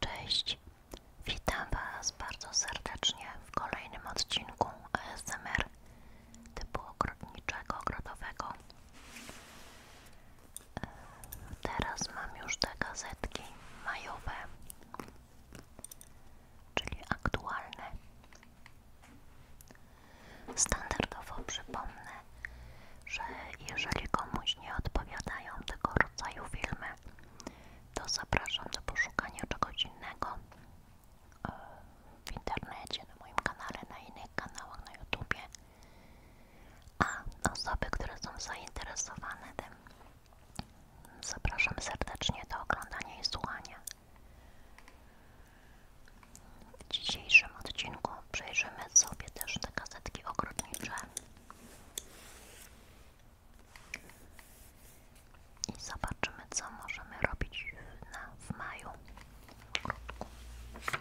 Cześć, witam Was bardzo serdecznie w kolejnym odcinku ASMR typu ogrodniczego, ogrodowego. E, teraz mam już te gazetki majowe, czyli aktualne. Standardowo przypomnę, że jeżeli komuś nie odpowiadają tego rodzaju filmy, to zapraszam do poszukania czegoś innego e, w internecie, na moim kanale, na innych kanałach, na YouTubie. A osoby, które są zainteresowane tym, zapraszam serdecznie do oglądania i słuchania. W dzisiejszym odcinku przejrzymy sobie też te kasetki ogrodnicze i zobaczymy, co możemy robić na, w maju w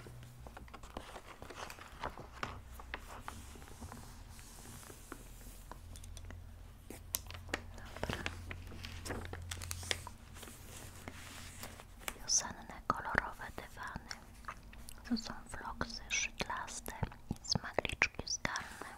Wiosenne, kolorowe dywany to są floksy szydlaste i smagliczki skalne.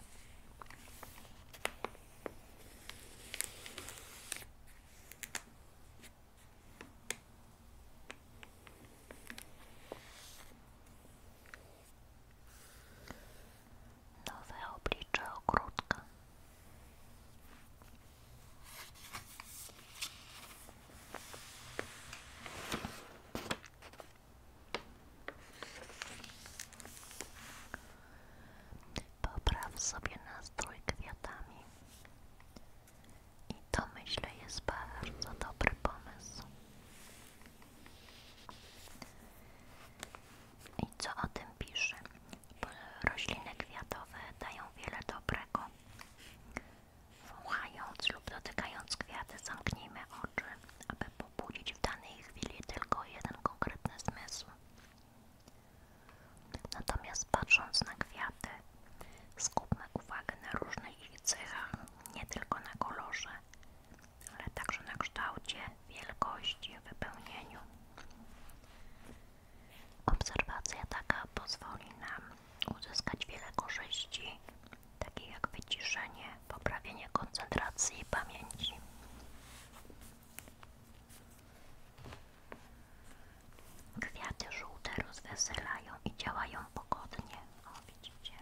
Nowe oblicze ogródka. Popraw sobie nastrój kwiatami. I to myślę jest bardzo dobry pomysł. I co o tym pisze? Rośliny kwiatowe dają wiele dobrego. Wołając lub dotykając kwiaty, zamknijmy oczy, aby pobudzić w danej chwili tylko jeden konkretny zmysł. Natomiast patrząc na kwiaty, skupmy uwagę na różnych ich cechach, nie tylko na kolorze, ale także na kształcie, wielkości, wypełnieniu. Obserwacja taka pozwoli nam uzyskać wiele korzyści, takie jak wyciszenie, poprawienie koncentracji i pamięci. Kwiaty żółte rozweselają i działają pogodnie. O, widzicie?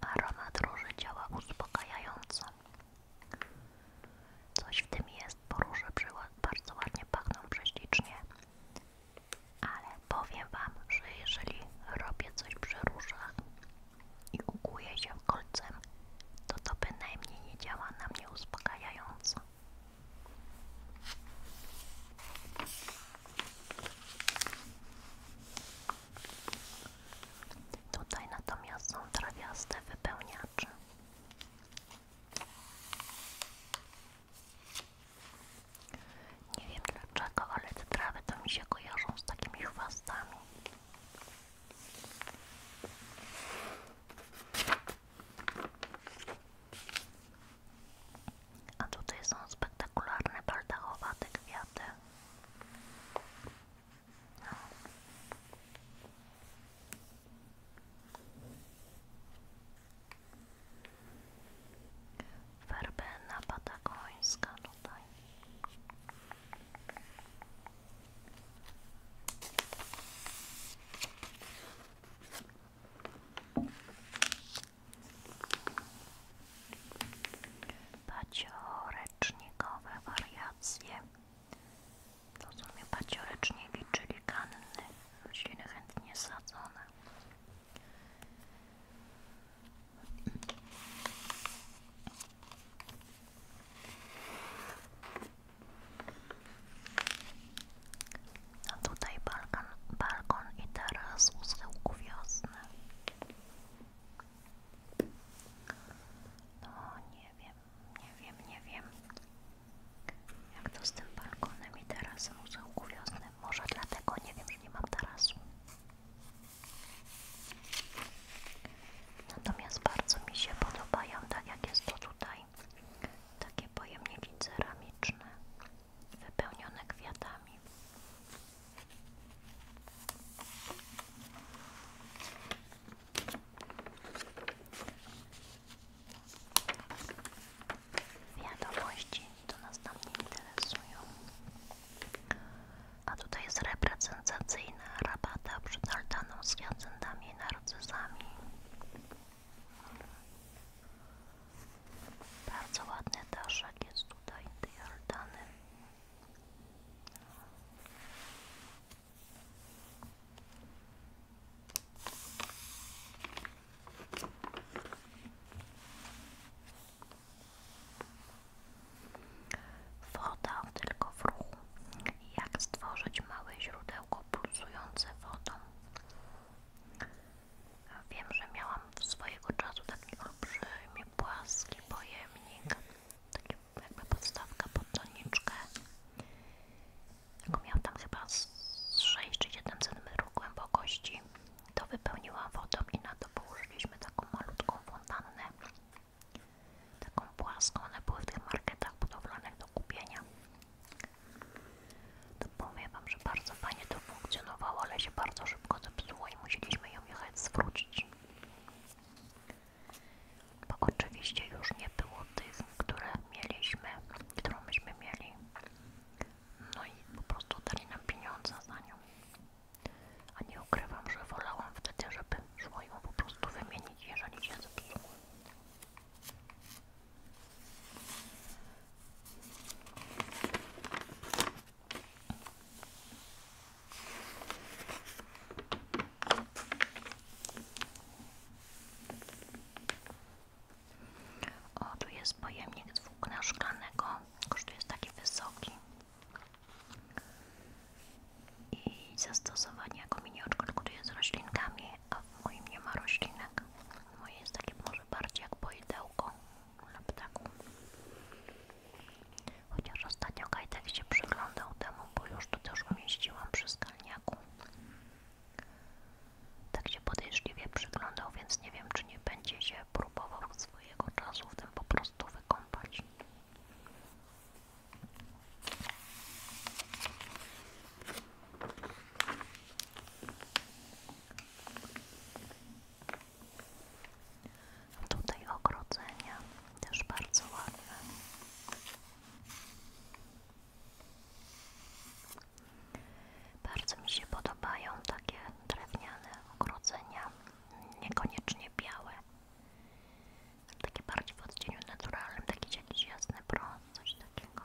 Aromat róży działa uspokajająco. Coś w tym jest, Poruszę przykład. bardzo ładnie pachną prześlicznie. Ale powiem Wam, że jeżeli robię coś przy różach i ukuję się kolcem, to to bynajmniej nie działa na mnie uspokajająco. Tutaj natomiast są trawiaste wypełniacze. Nie wiem dlaczego, ale te trawy to mi się kojarzą z takimi chwastami. A tutaj są spektakularne baldachowate kwiaty. No. Werbena patagońska tutaj. Paciorecznikowe wariacje to są mnie pacioreczniki, czyli kanny, rośliny chętnie sadzone. A no tutaj balkon, balkon i teraz u schyłku wiosny. No nie wiem, nie wiem, nie wiem jak to z tym balkonem i tarasem u zaułku wiosny. Może dlatego nie wiem, że nie mam tarasu. Natomiast bardzo mi się podobają, tak jak jest to tutaj, takie pojemniki ceramiczne, wypełnione kwiatami. Wiadomości to nas tam nie interesują. A tutaj jest reprezentacyjna rabata przed altaną z jacentami i narcyzami. Bardzo ładny daszek jest tutaj tej altany. Woda tylko w ruchu. Jak stworzyć małe źródełko pulsujące wodą? Wiem, że miałam swojego czasu taki olbrzymi, płaski pojemnik, taki jakby podstawka pod doniczkę miałam tam chyba z 6 czy 7 cm głębokości, to wypełniłam wodą i na to położyliśmy taką malutką fontannę, taką płaską, one były w tych marketach budowlanych do kupienia. To że bardzo fajnie to funkcjonowało, ale się bardzo szybko zepsuło i musieliśmy ją jechać zwrócić bo oczywiście już nie było tych, które mieliśmy, którą myśmy mieli. No i po prostu dali nam pieniądze za nią. A nie ukrywam, że wolałam wtedy, żeby szło ją po prostu wymienić, jeżeli się zepsuło. O, tu jest pojemnik z włókna kosztuje taki wysoki i zastosowanie jako minioczka, tylko tu jest z roślinkami, a w moim nie ma roślinek. Moje jest takie może bardziej jak pojedełko dla ptaku. Chociaż ostatnio Kajtek się przyglądał temu, bo już to też umieściłam przy skalniaku. Tak się podejrzliwie przyglądał, więc nie wiem, czy nie będzie się próbował swojego czasu w tym po prostu wykąpać. Tutaj ogrodzenia też bardzo ładne. Bardzo mi się podobają takie drewniane ogrodzenia, niekoniecznie białe, takie bardziej w odcieniu naturalnym, taki jakiś jasny brąz, coś takiego.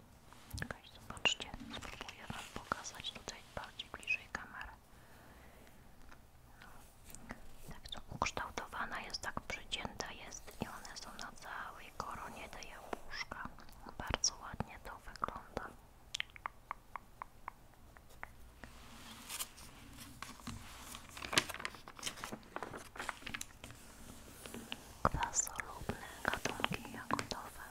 Czekaj, zobaczcie, spróbuję Wam pokazać tutaj bardziej bliżej kamery. No. Tak to ukształtowana jest, tak przycięta jest i one są na całej koronie tej jabłuszka. Bardzo ładnie to wygląda. Kwasolubne gatunki jagodowe.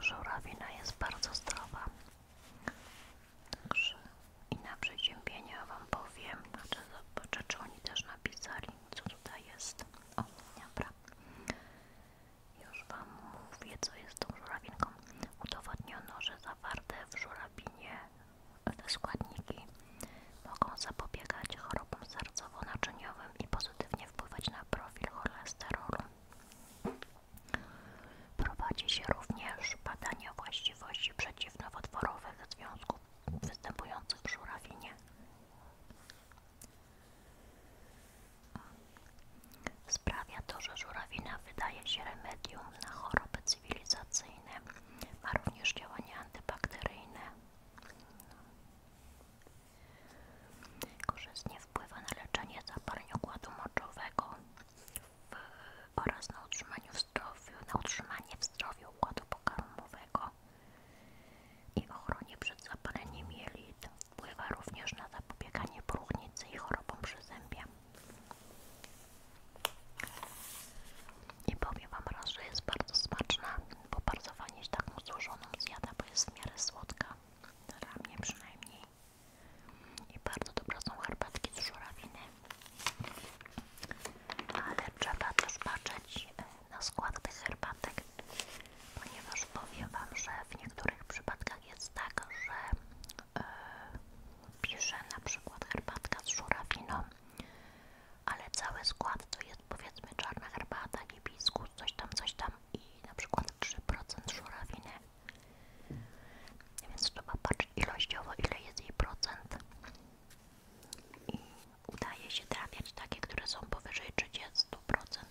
Żurawina jest bardzo zdrowa. Także i na przeziębienia Wam powiem, znaczy zobaczę, czy oni też napisali, co tutaj jest. O, dobra. Już Wam mówię, co jest tą żurawinką. Udowodniono, że zawarte w żurawinie te składniki mogą zapobiegać chorobom sercowo-naczyniowym i pozytywnie wpływać na profil cholesterolu. Prowadzi się również badania właściwości przeciwnowotworowych związków występujących w żurawinie. Sprawia to, że żurawina wydaje się remedium na choroby cywilizacyjne. Ma również działania antybakteryjne. Korzystnie wpływa na leczenie zapaleń układu moczowego oraz na utrzymanie w zdrowiu, na utrzymanie w układu pokarmowego i ochronie przed zapaleniem jelit. Wpływa również na zapobieganie próchnicy i chorobom przyzębia. I powiem Wam raz, że jest bardzo smaczna, bo bardzo fajnie się taką złożoną zjada, bo jest w miarę słodka, dla mnie przynajmniej. I bardzo dobre są herbatki z żurawiny. Ale trzeba też patrzeć e, na skład tych herbatek, ponieważ powiem Wam, że w niektórych przypadkach jest tak, że yy, na przykład herbatka z żurawiną, ale cały skład to jest powiedzmy czarna herbata, hibiskus, coś tam, coś tam i na przykład 3% żurawiny. Więc trzeba patrzeć ilościowo, ile jest jej procent udaje się trafiać takie, które są powyżej 30%,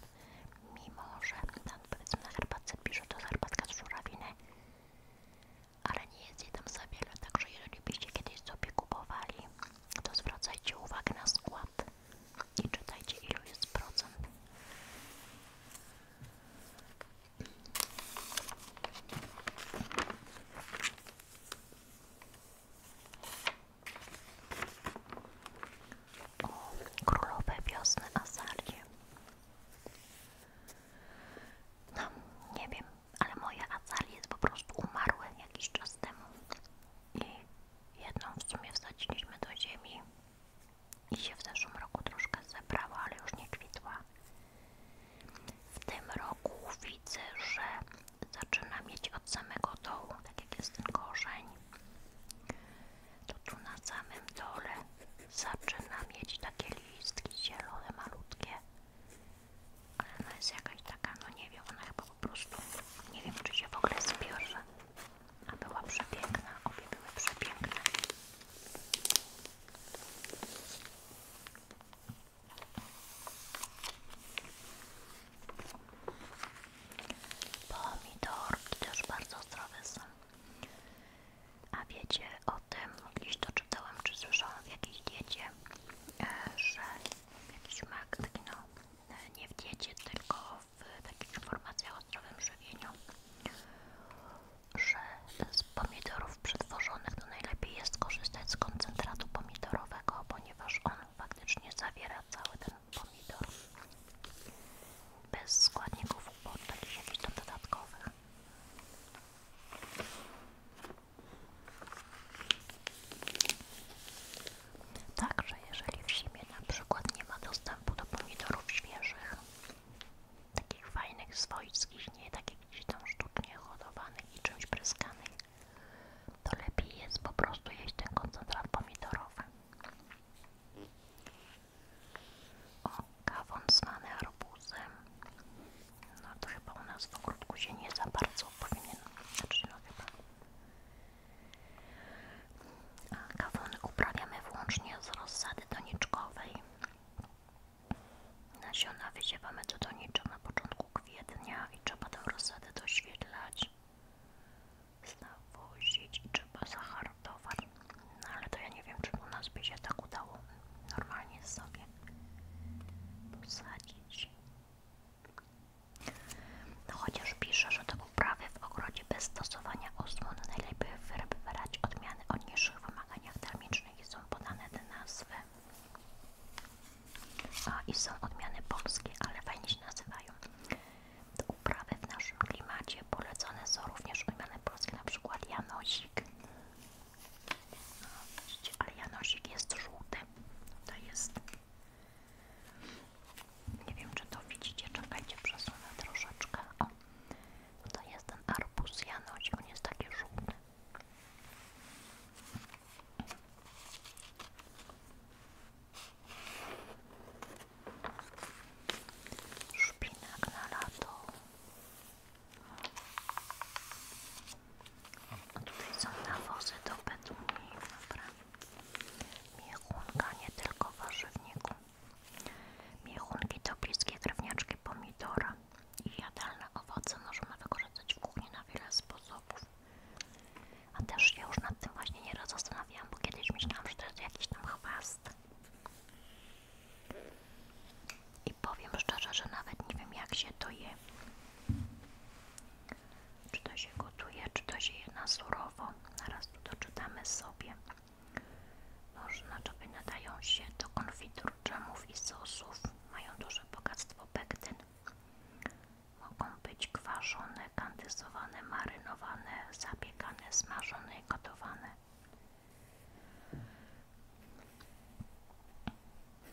mimo że tam powiedzmy na herbatce pisze to herbatka z żurawiny, ale nie jest jej tam za wiele, także jeżeli byście kiedyś sobie kupowali, to zwracajcie uwagę na skład i czytajcie ilu jest procent o królowej wiosny Azarcie. No, nie wiem, ale moje Azalie po prostu umarły jakiś czas temu i jedną w sumie wsadziliśmy do ziemi i się w zeszłym roku troszkę zebrała, ale już nie kwitła. W tym roku widzę, że zaczyna mieć od samego dołu, tak jak jest ten korzeń, to tu na samym dole zaczyna mieć takie listki zielone, malutkie. Ale ona jest jakaś taka, no nie wiem, ona chyba po prostu, nie wiem czy się w ogóle zbierze. A była przepiękna, obie były przepiękne. Pomidorki też bardzo zdrowe są. A wiecie o tym, Kiedyś to czytałam, czy słyszałam w jakiejś diecie, e, że jakiś mak, no, e, nie w diecie, tylko w takich informacjach o zdrowym żywieniu, że z pomidorów przetworzonych to najlepiej jest korzystać z koncentratu pomidorowego, ponieważ on faktycznie zawiera cały ten pomidor bez składników od takich jakichś tam dodatkowych Także jeżeli w zimie na przykład nie ma dostępu do pomidorów świeżych takich fajnych, swojskich, nie takich gdzieś tam sztucznie hodowanych i czymś pryskanych to lepiej jest po prostu jeść ten koncentrat pomidorowy. O, kawon zwany arbuzem. No to chyba u nas w ogródku się nie za bardzo powinien, znaczy A kawon uprawiamy wyłącznie z rozsady doniczkowej. Nasiona wysiewamy do donicza na początku kwietnia i trzeba tę rozsadę doświetlać zawozić i trzeba zahartować. No ale to ja nie wiem, czy u nas by się tak udało normalnie sobie posadzić. No chociaż pisze, że do uprawy w ogrodzie bez stosowania osłon najlepiej wybierać odmiany o niższych wymaganiach termicznych i są podane te nazwy. A, I są odmiany polskie, ale fajnie się nazywają. Do uprawy w naszym klimacie polecone są również odmiany polskie, na przykład Janosik. No, ale Janosik jest żółty. To jest. Nie wiem, czy to widzicie. Czekajcie, przesunę troszeczkę. O, to jest ten arbuz Janosik. On jest taki żółty. Szpinak na lato. A tutaj są nawozy do petunii, dobra. Miechunka, nie tylko warzywniku. Miechunki to bliskie drewniaczki pomidora i jadalne owoce można wykorzystać w kuchni na wiele sposobów. A też się już nad tym właśnie nieraz zastanawiałam, bo kiedyś myślałam, że to jest jakiś tam chwast. I powiem szczerze, że nawet nie wiem jak się to je. Czy to się gotuje, czy to się je na surowo. Zaraz tu doczytamy sobie. Można czopy nadają się do konfitur, dżemów i sosów. Mają duże bogactwo pektyn. Mogą być kwarzone, kandyzowane, marynowane, zabiegane, smażone i gotowane.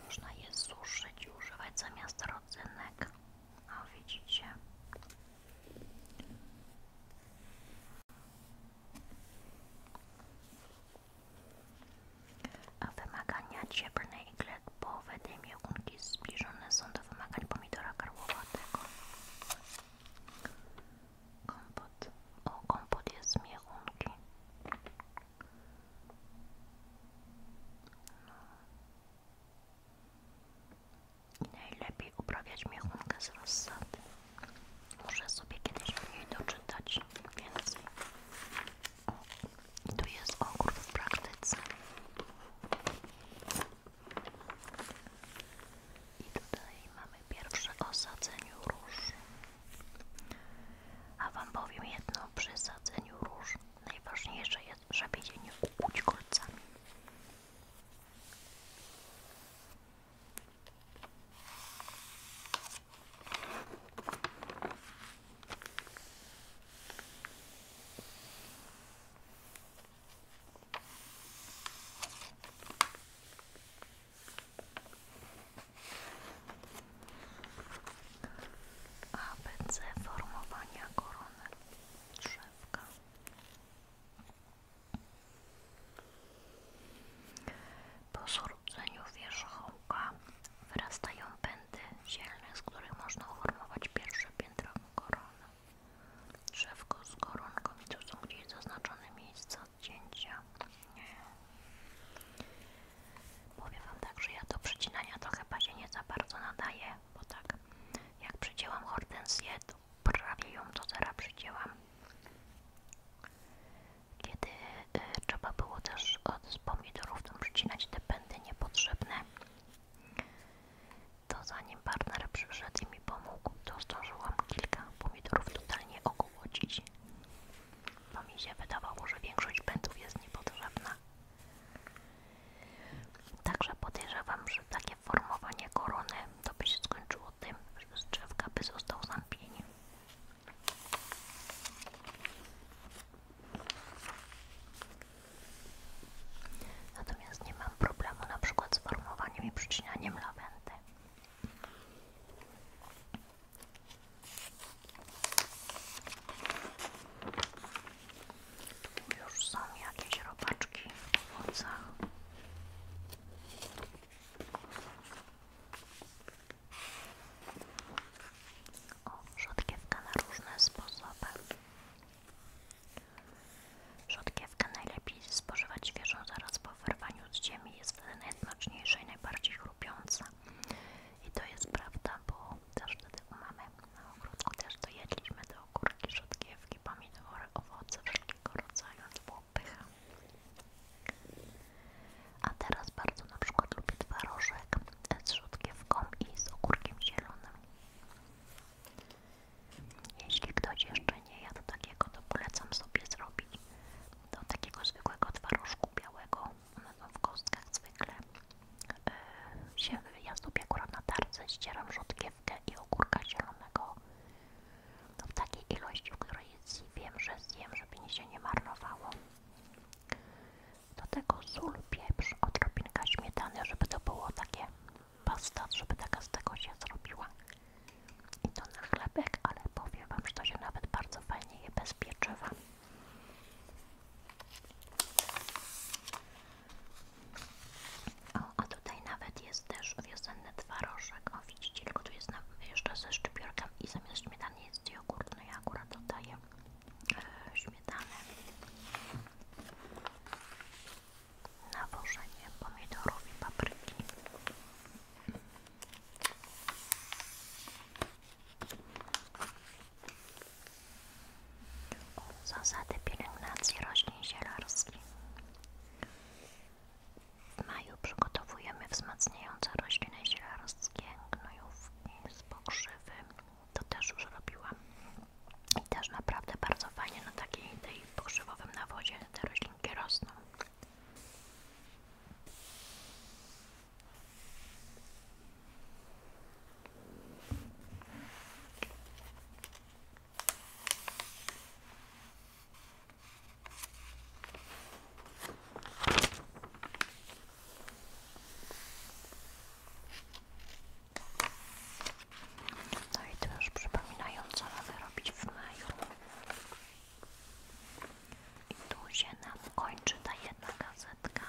Można je suszyć i używać zamiast rodzynek. O widzicie. A wymagania cieplne zielone i glebowe dymiągunki zbliżone są do wymagań pomidora karłowatego. Kompot. O, kompot jest z miechunki. No. I najlepiej uprawiać miechunkę z rozsady. Muszę sobie kiedyś mniej doczytać więcej tu jest ogród w praktyce. I tutaj mamy pierwsze osadzeniu róż. A Wam powiem jedno, przy sadzeniu róż najważniejsze jest, żeby je nie ukłuć kolcami. ABC formowania korony drzewka. Po zrzuceniu wierzchołka wyrastają pędy zielnych, z których można uformować pierwsze piętro korony. Drzewko z koronką i tu są gdzieś zaznaczone miejsca odcięcia. Nie. Powiem wam tak, że ja do przecinania trochę chyba się nie za bardzo nadaje, bo tak jak przecięłam hortensję, to prawie ją do zera przecięłam. Kiedy y, trzeba było też od pomidorów tam przecinać te pędy niepotrzebne, to zanim partner przyszedł i mi pomógł, to zdążyłam kilka pomidorów totalnie ogłocić. Bo mi się wydawało, że większość pędów jest niepotrzebna. Także podejrzewam, że takie formowanie korony to by się skończyło tym, że z drzewka by został sam Natomiast nie mam problemu na przykład z formowaniem i przycinaniem lawendy. Tu już są jakieś robaczki w owocach. O, na różne sposoby. Rzodkiewkę najlepiej spożywać świeżą zaraz po wyrwaniu z ziemi, jest wtedy najsmaczniejsza i najbardziej chrupiąca. I to jest prawda, bo też wtedy u mamy na ogródku też dojedliśmy do ogórki, rzodkiewki, pomidory, owoce wszelkiego rodzaju, to A teraz bardzo na przykład lubię twarożek z rzodkiewką i z ogórkiem zielonym. Jeśli ktoś jeszcze nie jadł takiego, to polecam sobie zrobić do takiego zwykłego twarożku białego. One są w kostkach zwykle. Yy, ja sobie akurat na tarce ścieram rzodkiewkę i ogórka zielonego. w takiej ilości, w której jest, wiem, że zjem, żeby mi się nie marnowało. Do tego sól, pieprz, odrobinka śmietany, żeby to było takie pasta, żeby taka z tego się zrobiła. I to na chlebek, ale powiem Wam, że to się nawet bardzo fajnie je bez pieczywa. O, a tutaj nawet jest też wiosenny twarożek. widzicie, tylko tu jest na, jeszcze ze szczypiorkiem i zamiast śmietany jest jogurt. No ja akurat dodaję e, śmietanę nawożenie pomidorów i papryki. Zasady pielęgnacji roślin zielarskich. W maju przygotowujemy wzmacniające rośliny zielarskie, gnojówki z pokrzywy to też już robiłam i też naprawdę bardzo fajnie na takiej tej pokrzywowym nawozie te roślinki rosną. No i to już przypominają, co mamy robić w maju. I tu się nam kończy ta jedna gazetka.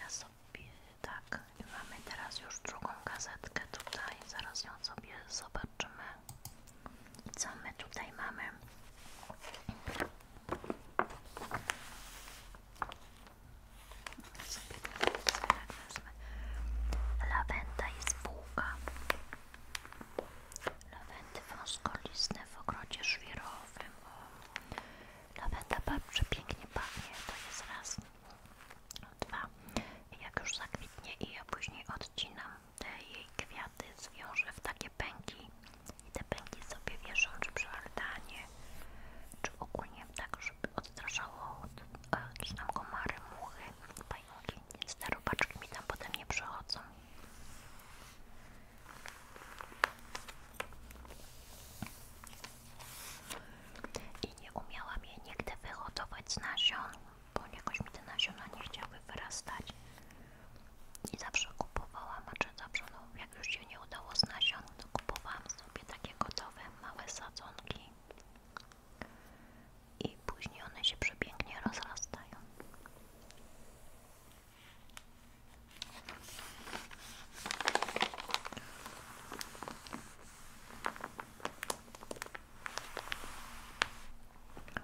Ja sobie tak, mamy teraz już drugą gazetkę tutaj, zaraz ją sobie zobaczymy. co my tutaj mamy? Sobie tak nazwę. Lawenda i spółka. Lawendy wąskolistne w ogrodzie żwirowym. Lawenda bardzo pięknie pachnie, to jest raz. Dwa. Jak już zakwitnie i ja później odcinam te jej kwiaty, zwiążę w takie pęki i te pęki sobie wieszą, czy przy altanie, czy ogólnie tak, żeby odstraszało od, e, jakieś tam komary, muchy, pająki, więc te robaczki mi tam potem nie przechodzą. I nie umiałam je nigdy wyhodować z nasion, bo jakoś mi te nasiona nie chciały wyrastać nie zawsze kupowałam, a czy zawsze, no, jak już się nie udało z nasion, to kupowałam sobie takie gotowe, małe sadzonki i później one się przepięknie rozrastają.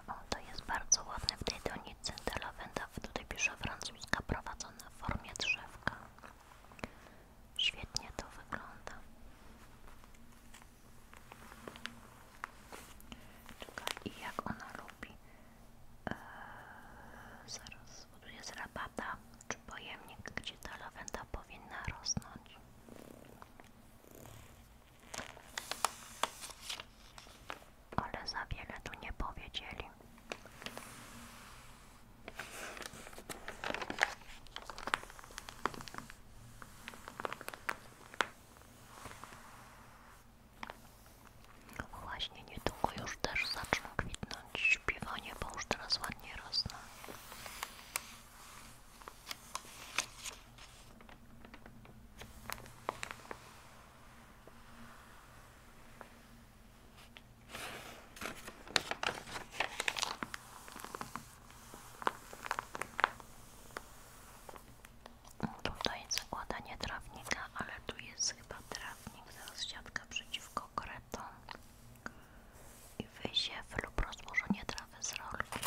O, to jest bardzo ładne w tej donicy, ta lawenda, tutaj pisze Franz mózga prowadzone w formie drzewka. Świetnie to wygląda. Czekaj, i jak ona lubi? Eee, zaraz, bo tu jest czy pojemnik, gdzie ta lawenda powinna rosnąć ale za wiele tu nie powiedzieli. Właśnie niedługo już też zaczną kwitnąć śpiewanie, bo już teraz ładnie rosną. Tutaj jest zakładanie trawnika, ale tu jest chyba trawnik, zaraz siatka przeciwko kretom i wyziew lub rozłożenie trawy z rolki.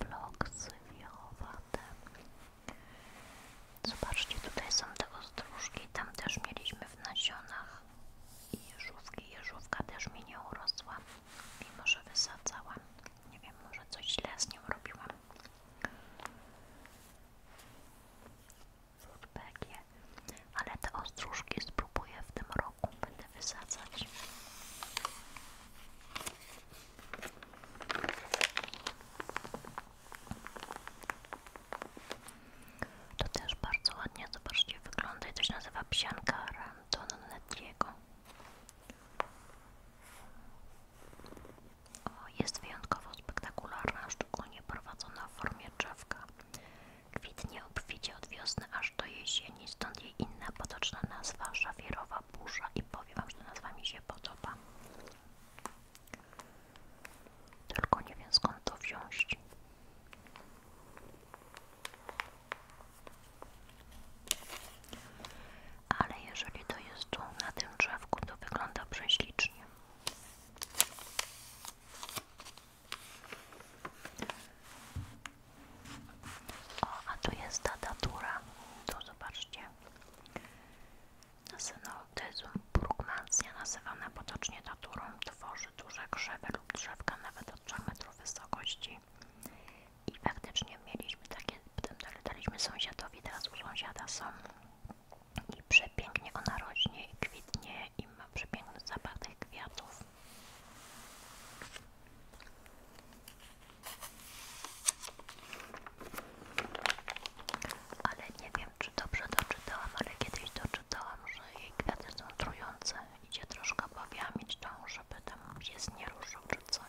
Bloksy wiechowate. Zobaczcie, tutaj są te ostróżki, tam też mieliśmy w nasionach i jeżówki. Jeżówka też mi nie urosła, mimo że wysadzałam. Nie wiem, może coś źle z nią robiłam. Zutbekie, ale te ostróżki spróbuję w tym roku, będę wysadzać. To też bardzo ładnie, zobaczcie, wygląda i to się nazywa psianka Rantona Netiego jest wyjątkowo spektakularna, szczególnie prowadzona w formie drzewka. Kwitnie obficie od wiosny aż do jesieni, stąd jej inna potoczna nazwa szafirowa burza i powiem wam, że nazwa mi się podoba. Tylko nie wiem skąd to wziąć. Ale jeżeli to jest tu na tym drzewku, to wygląda prześlicznie. O, a tu jest ta datura. To zobaczcie. Synoptyzm Burgmansja, nazywana potocznie daturą, tworzy duże krzewy lub drzewka nawet od 3 metrów wysokości. I faktycznie mieliśmy takie, tym potem daliśmy sąsiadowi, teraz u sąsiada są i przepięknie ona rośnie i kwitnie i ma przepiękny zapach tych kwiatów. Ale nie wiem, czy dobrze doczytałam, ale kiedyś doczytałam, że jej kwiaty są trujące. Idzie troszkę powiamić tą, żeby tam gdzieś nie ruszył czy coś.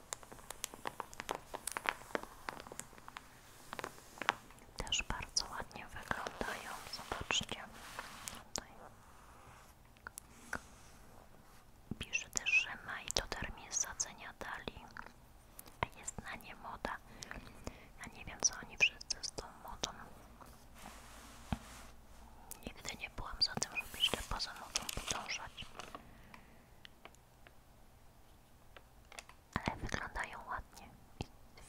Też bardzo ładnie wyglądają, zobaczcie. Tutaj. Biżuty Rzyma i to termin sadzenia dali. A jest na nie moda. a nie wiem co oni wszyscy z tą modą. Nigdy nie byłam za tym, żeby jeszcze poza modą podążać. Ale wyglądają ładnie.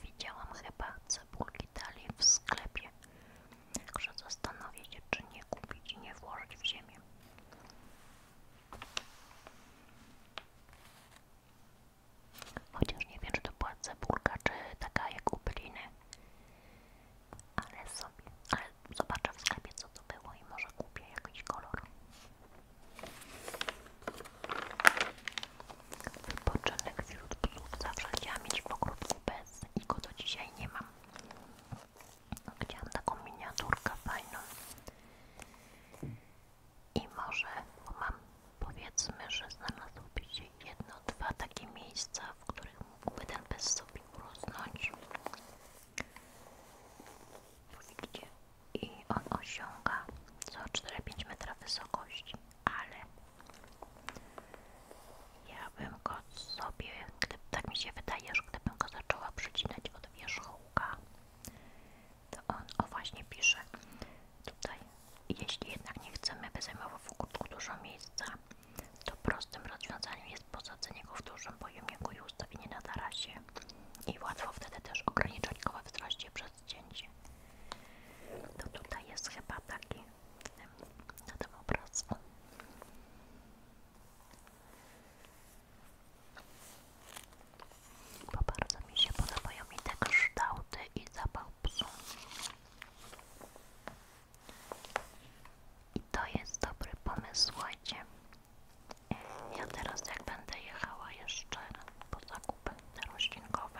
Widziałam chyba cebulki dalej w sklepie. Także zastanowię się, czy nie kupić i nie włożyć w ziemię. Chociaż nie wiem, czy to była cebulka, czy taka jak u byliny. Ale sobie, zobaczę w sklepie co to było i może kupię jakiś kolor. Wypoczynek wśród psów zawsze chciałam mieć w ogródku bez i go do dzisiaj nie mam. Chciałam taką miniaturkę fajną. I może, mam powiedzmy, że znalazłoby się jedno, dwa takie miejsca, w których mógłby ten pies sobie urosnąć. I on osiąga co 4-5 metra wysokości, ale ja bym go sobie, gdyby, tak mi się wydaje, że gdybym go zaczęła przycinać od wierzchołka, to on, o właśnie pisze tutaj, jeśli jednak nie chcemy, by zajmował w ogóle dużo miejsca, to prostym rozwiązaniem jest posadzenie go w dużym pojemniku i ustawienie na tarasie i łatwo wtedy też ograniczać go we przez cięcie. To tutaj jest chyba taki na tym obrazku. Bo bardzo mi się podobają i te kształty i zapach psu. I to jest dobry pomysł, słuchajcie. Ja teraz jak będę jechała jeszcze po zakupy te roślinkowe,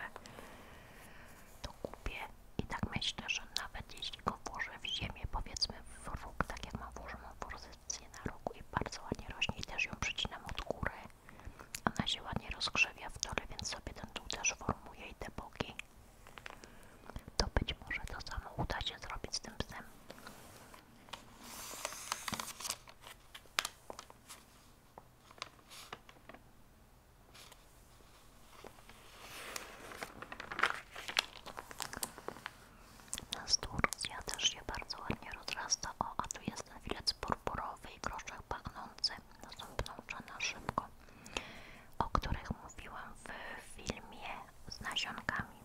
to kupię i tak myślę, że nawet jeśli go włożę w ziemię, powiedzmy w róg, tak jak mam włożoną pozycję na rogu i bardzo ładnie rośnie i też ją przycinam od góry, a na ładnie rozgrzewia w dole, więc sobie ten dół też formuje i te boki, to być może to samo uda się zrobić z tym psem. Nasturcja też się bardzo ładnie rozrasta. O, a tu jest ten filec purpurowy i groszek pachnący. Następną na szybko, o których mówiłam w filmie z nasionkami.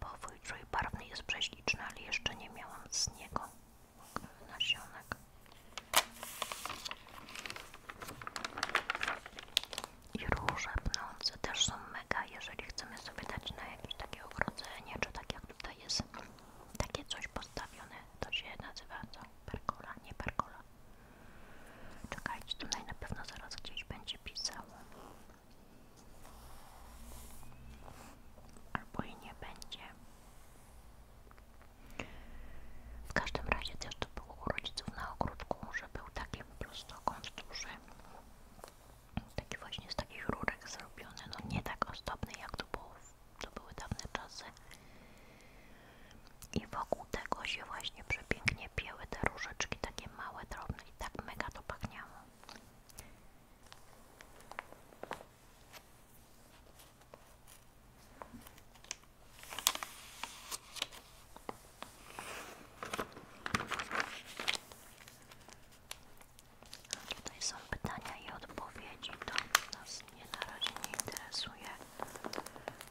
Powój trójbarwny jest prześliczny, ale jeszcze nie miałam z niego nasionek. I róże pnące też są mega, jeżeli chcemy sobie dać na jakieś takie ogrodzenie, czy tak jak tutaj jest takie coś postawione, to się nazywa co? Perkola? Nie perkola. Czekajcie, to na pewno zaraz gdzieś będzie pisało. Albo i nie będzie. W każdym razie też to było u rodziców na ogródku, że był taki prostokąt duży. Taki właśnie z takich rurek zrobiony, no nie tak ozdobny jak to było, to były dawne czasy. I wokół tego się właśnie przepięknie pieły te różyczki, takie małe, drobne i tak mega to pachniało. Tutaj są pytania i odpowiedzi, to nas nie na razie nie interesuje.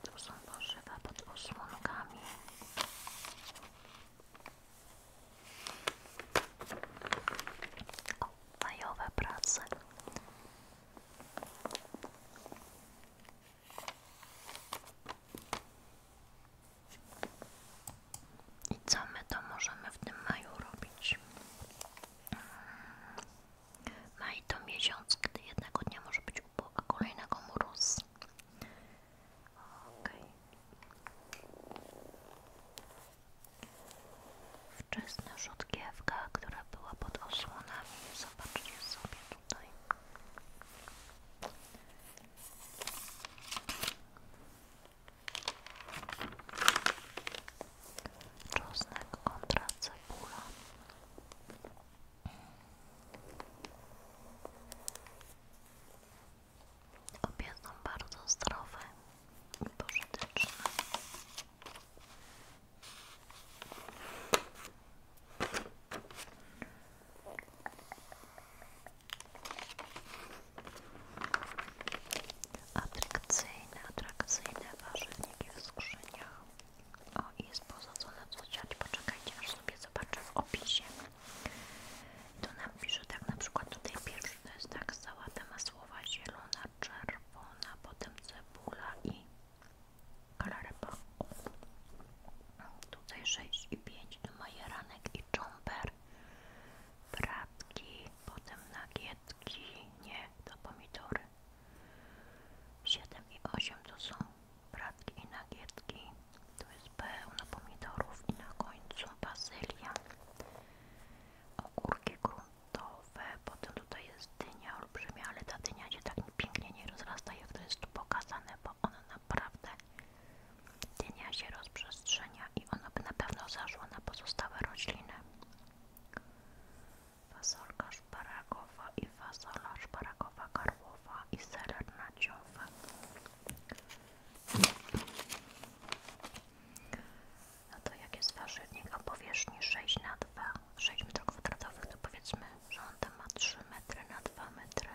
Tu są warzywa pod osłonkami. O, majowe I co my to możemy w tym maju robić? Maj no to miesiąc, gdy jednego dnia może być upał, a kolejnego mróz. Okej. Wczesna rzutkiewka, która była pod osłonami. Zobaczcie sobie tutaj. Czosnek kontra cebula. Obie są bardzo zdrowe i pożyteczne. Atrakcyjne, atrakcyjne ważne w o, jest posadzone w zociacz. Poczekajcie, aż sobie zobaczę w opisie. Tu nam pisze tak na przykład tutaj pierwszy to jest tak sałata masłowa, zielona, czerwona, potem cebula i kalarepa. Tutaj i 6,5 do majeranek i czomper. Bratki, potem nagietki, nie, to pomidory. 7 i 8 to są bratki i nagietki. to jest pełno pomidorów i na końcu bazylia. Ogórki gruntowe, potem tutaj jest dynia olbrzymia, ale ta dnia, się tak pięknie nie rozrasta, jak to jest tu pokazane, bo ona naprawdę dnia się rozprzestrzenia i ona by na pewno zaszła na pozostałe rośliny fasolka szparagowa i fasola szparagowa karłowa i serer No to jak jest warzywnik o powierzchni 6 na 2, 6 m2, to powiedzmy, że on tam ma 3 metry na 2 metry.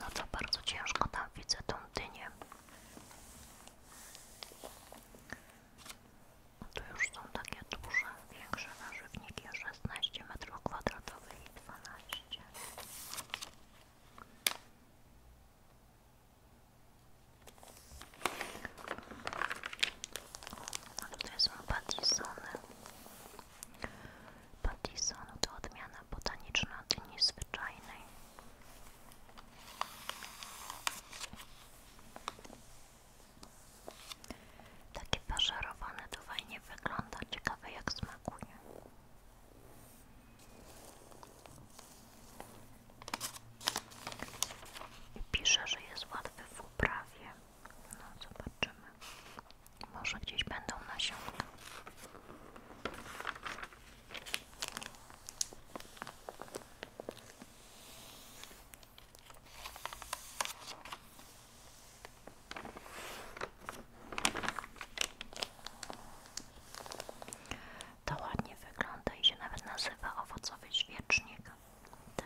No to bardzo ciężko tam widzę tą dynię. To już są takie duże, większe warzywniki, 16 m2 i 12 ale to są patisony. Patison to odmiana botaniczna dyni zwyczajnej. Takie pożarowane to fajnie wygląda, ciekawe jak smakuje. I pisze, że jest łatwy w uprawie. No zobaczymy. Może gdzieś będą nasionka. To ładnie wygląda i się nawet nazywa owocowy świecznik. Te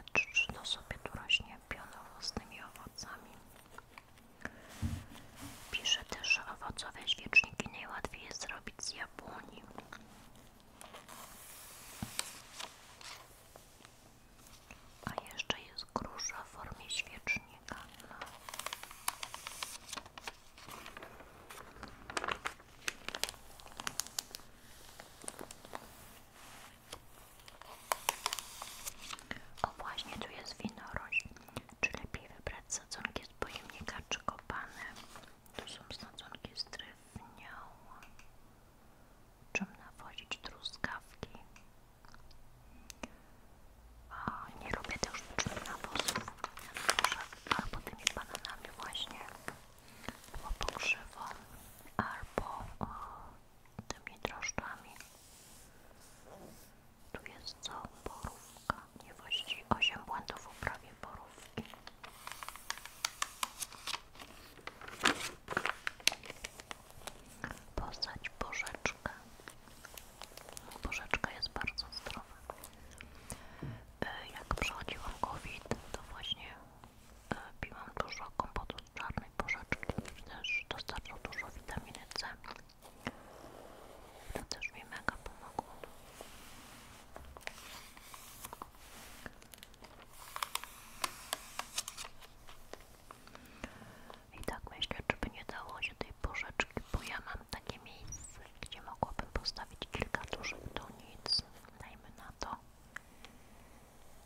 to sobie tu rośnie pionowo z owocami. Pisze też, że owocowe świeczniki najłatwiej jest zrobić z jabłoni. A jeszcze jest grusza w formie świecznika. No. O właśnie, tu jest winorość, czy lepiej wybrać sadzonki z pojemnika czy kopane. Tu są sadzonki z drewnią czym nawozić truskawki. nie lubię też sztucznych nawozów, albo tymi bananami właśnie, albo pokrzywą, albo tymi drożdżami. Tu jest co? Borówka. Nie właściwie 8 błędów w uprawie Posadź bożeczkę. Bożeczka jest bardzo zdrowa. E, jak przechodziłam COVID, to właśnie e, piłam dużo kompotu z czarnej bożeczki, też dostarczał dużo witaminy C. To też mi mega pomogło. I tak myślę, czy by nie dało się tej porzeczki, bo ja mam takie miejsce, gdzie mogłabym postawić kilka dużych donic, dajmy na to.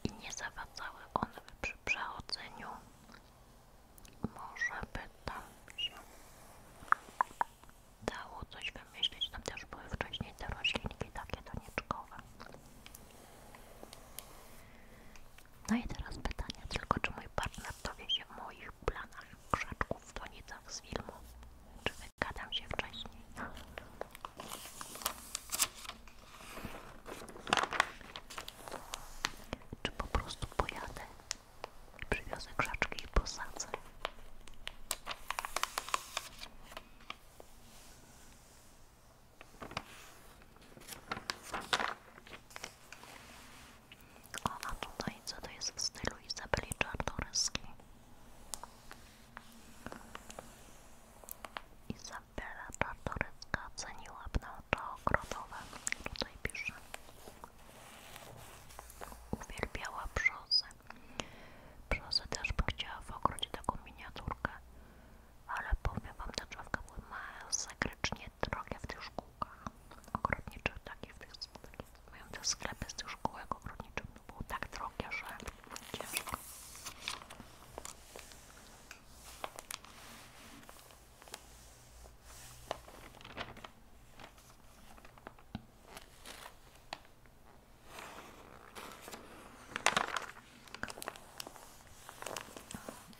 I nie zawadzały one przy przechodzeniu. Może by tam się dało coś wymyślić. Tam też były wcześniej te roślinki takie doniczkowe. No i teraz pytanie tylko, czy mój partner dowie się w moich planach krzaczków w donicach z filmu? Czy wygadam się wcześniej? Czy po prostu pojadę i przywiozę krzaczki i posadzę? O, a tutaj co to jest w stylu Izabeli Czartoryskiej? Izabela Czartoryska ceniła pnącza ogrodowe. Tutaj pisze. Uwielbiała brzozy. Brzozy też bym chciała w ogrodzie taką miniaturkę ale powiem wam, ta drzewka była masakrycznie drogie w tych szkółkach ogrodniczych, takich, takie, mają te sklepy z tych szkółek ogrodniczych, no było tak drogie, że Okej,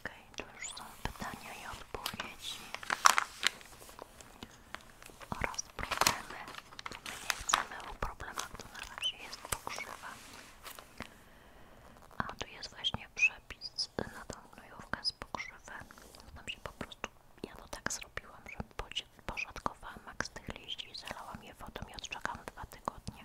okay, to już są pytania i odpowiedzi oraz problemy. nie chcemy o problemach, to na razie jest pokrzywa. A tu jest właśnie przepis na tą gnojówkę z pokrzywę. Znam się po prostu, ja to tak zrobiłam, że podziękowałam mak z tych liści, zalałam je wodą i odczekam dwa tygodnie.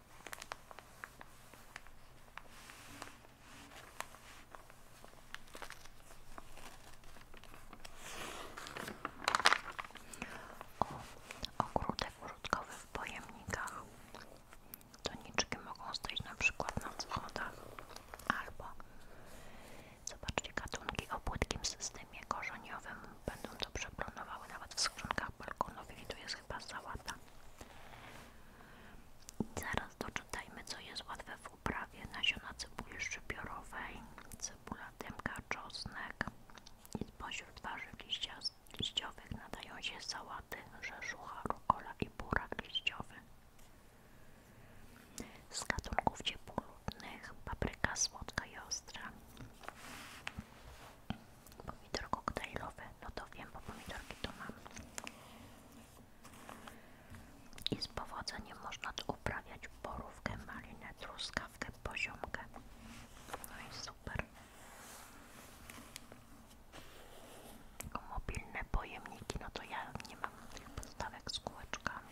O, ogródek użytkowy w pojemnikach. Doniczki mogą stać na przykład na wschodach, albo zobaczcie gatunki o płytkim systemie korzeniowym będą dobrze planowały nawet w skrzynkach balkonowi i tu jest chyba sałata. Zaraz doczytajmy, co jest łatwe w uprawie. Nasiona cebuli szczypiorowej, cebula tymka, czosnek i spośród warzyw liścia, liściowych nadają się sałaty, rzeszucha, rukola i burak liściowy. Z gatunków ciepłoludnych papryka słodka i ostra pomidor koktajlowy, no to wiem, bo pomidorki to mam. I z powodzeniem można tu uprawiać borówkę, malinę, truskawkę, poziomkę. No i super. Mobilne pojemniki, no to ja nie mam podstawek z kółeczkami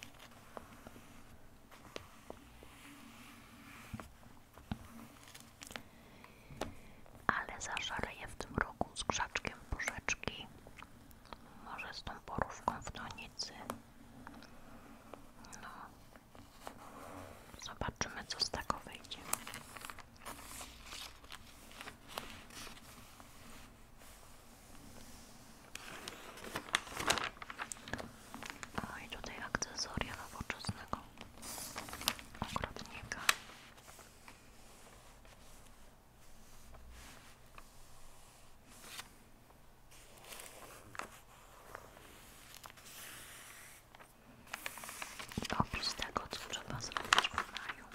ale zaszaleję w tym roku z krzaczkiem porzeczki może z tą porówką w donicy no zobaczymy co z tego wyjdzie o i tutaj akcesoria nowoczesnego ogrodnika Opis tego, co trzeba zrobić w Dunaju.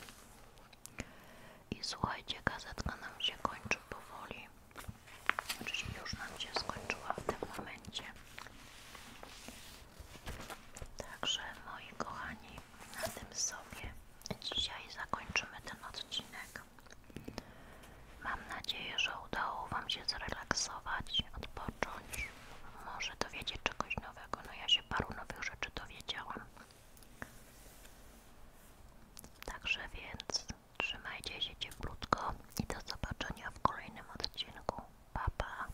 I słuchajcie, gazetka nam się kończy powoli. Znaczy już nam się skończyła w tym momencie. Także moi kochani, na tym sobie dzisiaj zakończymy ten odcinek. Mam nadzieję, że udało Wam się zrelaksować, odpocząć. Może dowiecie czegoś nowego. No ja się paru nowych rzeczy dowiedziałam. Także więc trzymajcie się cieplutko i do zobaczenia w kolejnym odcinku. Pa, pa.